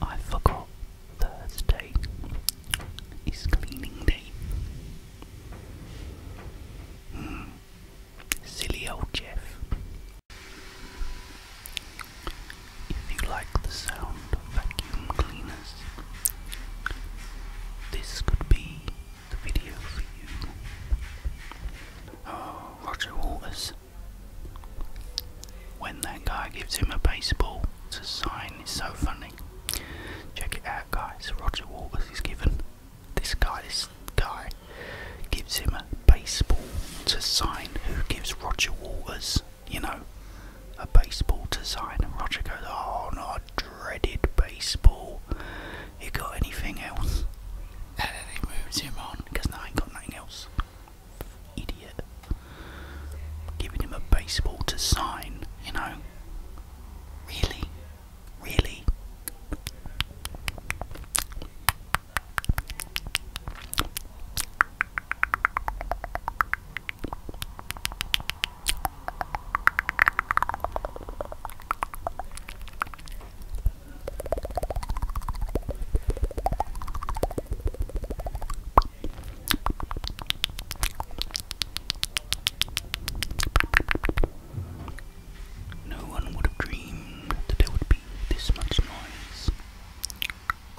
I forgot Thursday is cleaning day. Hmm. Silly old Jeff. If you like the sound of vacuum cleaners, this could be the video for you. Oh, Roger Waters when that guy gives him a baseball to sign it's so funny. Check it out, guys. Roger Waters is given this guy. This guy gives him a baseball to sign. Who gives Roger Waters, you know, a baseball to sign? And Roger goes, "Oh no, I dreaded baseball. You got anything else?" And then he moves him on because I ain't got nothing else. Idiot. Giving him a baseball to sign, you know. Really? Really? No one would have dreamed that there would be this much noise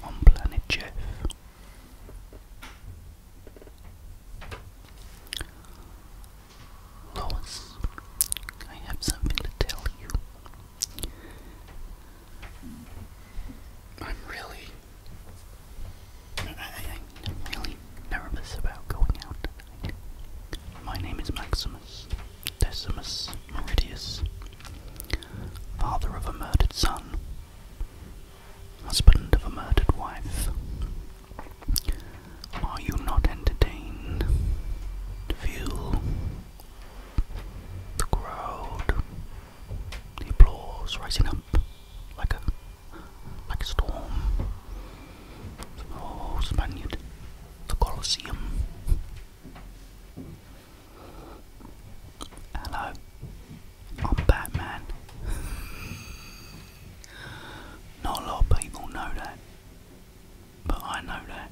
on planet Jeff. Lois, I have something to tell you. I'm really, I, am really nervous about going out tonight. My name is Maximus Decimus Meridius, father of a murdered son, husband of a murdered wife. Are you not entertained? Feel the crowd, the applause rising up like a like a storm. Oh, Spaniard, the Colosseum. Hello, I'm Batman. Not a lot of people know that, but I know that.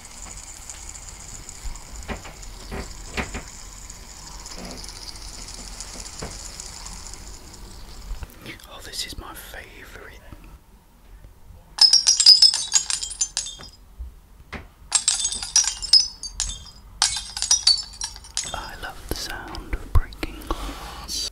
Oh, this is my favourite. I love the sound of breaking glass.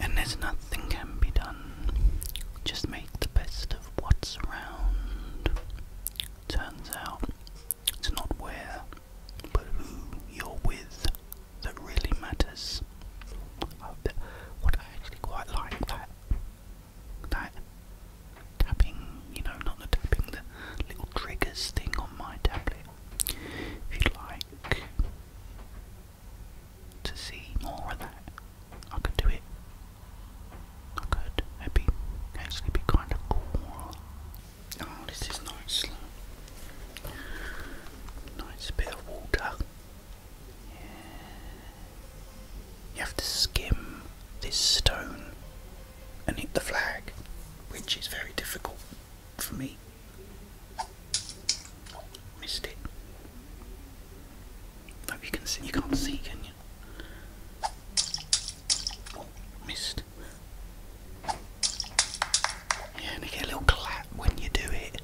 And there's nothing can be done. Just make the best of what's around. Turns out it's not where, but who you're with that really matters. what I actually quite like that. That tapping, you know, not the tapping, the little triggers thing on my tablet. If you like, to see more of that. I could do it. I could. It'd be actually be kind of cool. Oh, this is nice. Nice bit of water. You have to skim this stone and hit the flag, which is very difficult for me. Missed it. Hope you can see. You can't see, can you? Oh, missed. Yeah, and get a little clap when you do it.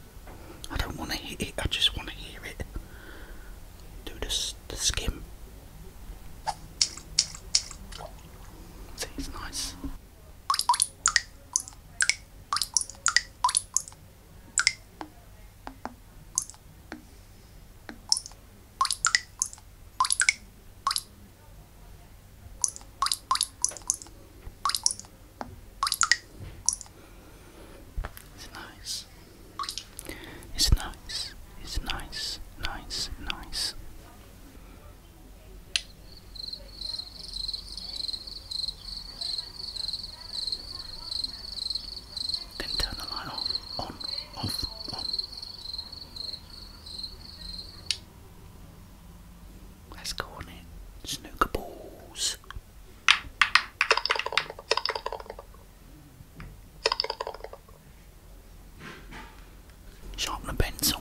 I don't want to hit it, I just want to hear it. Do the, the skim. See, it's nice. It's nice. It's nice. It's nice. Nice. Nice turn the light off, on, off, on. Let's go on it. Snooker balls. Sharpen a pencil.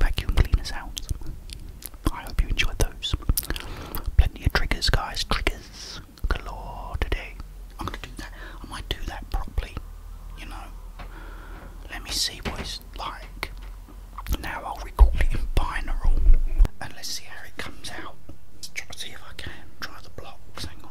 vacuum cleaner sounds. I hope you enjoyed those. Plenty of triggers, guys. Triggers galore today. I'm gonna do that. I might do that properly. You know. Let me see what it's like. Now I'll record it in binaural, and let's see how it comes out. Let's try to see if I can try the blocks. Hang on.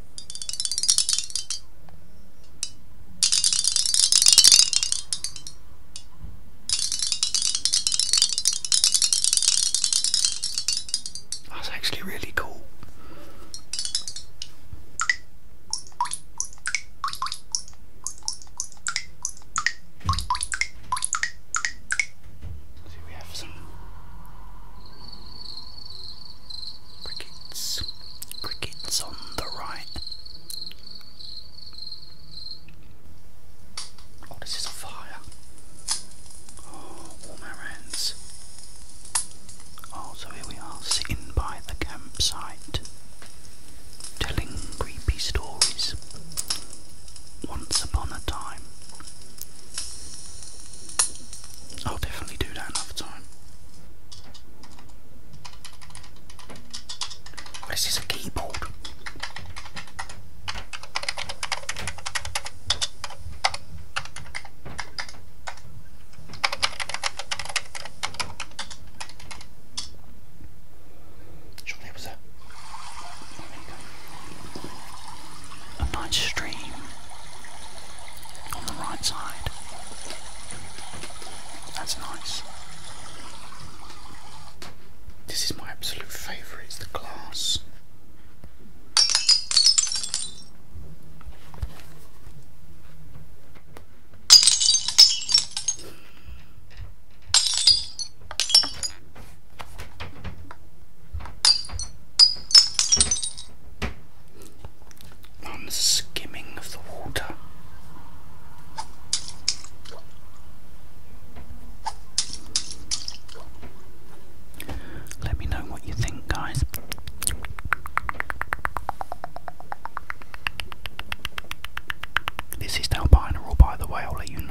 That's actually really cool. See, we have some Crickets. Crickets on the right. Oh, this is fire. Oh, warm our hands. Oh, so here we are, sitting by the campsite, telling creepy stories. Once upon a time. I'll definitely do that another time. What is this, a keyboard? Sure there was a, a nice stream on the right side. That's nice. This is my absolute favourite, it's the glass on the skimming of the water. Let me know what you think, guys. This is now binaural, by the way, I'll let you know.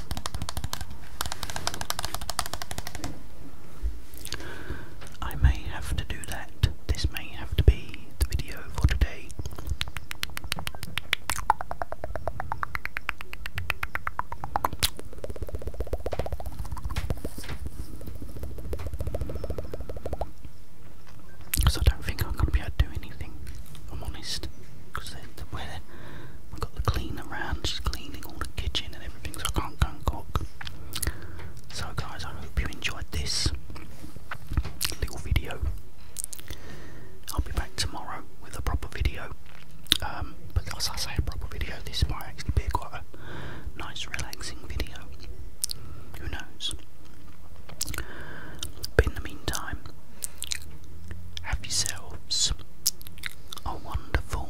I may have to do that. This may have to be the video for today. Because I don't think I'm going to be able to do anything. I'm honest, because the, the way I've got the cleaner around, just cleaning all the kitchen and everything, so I can't go and cook. So, guys, I hope you enjoyed this little video. I'll be back tomorrow with a proper video. Um, but as I say, a proper video, this might actually be quite a nice, relaxing video. Who knows? But in the meantime, have yourselves a wonderful,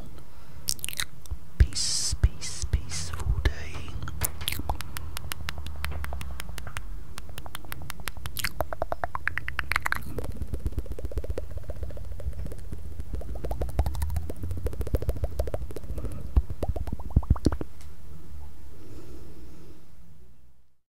peace, peace, peaceful day.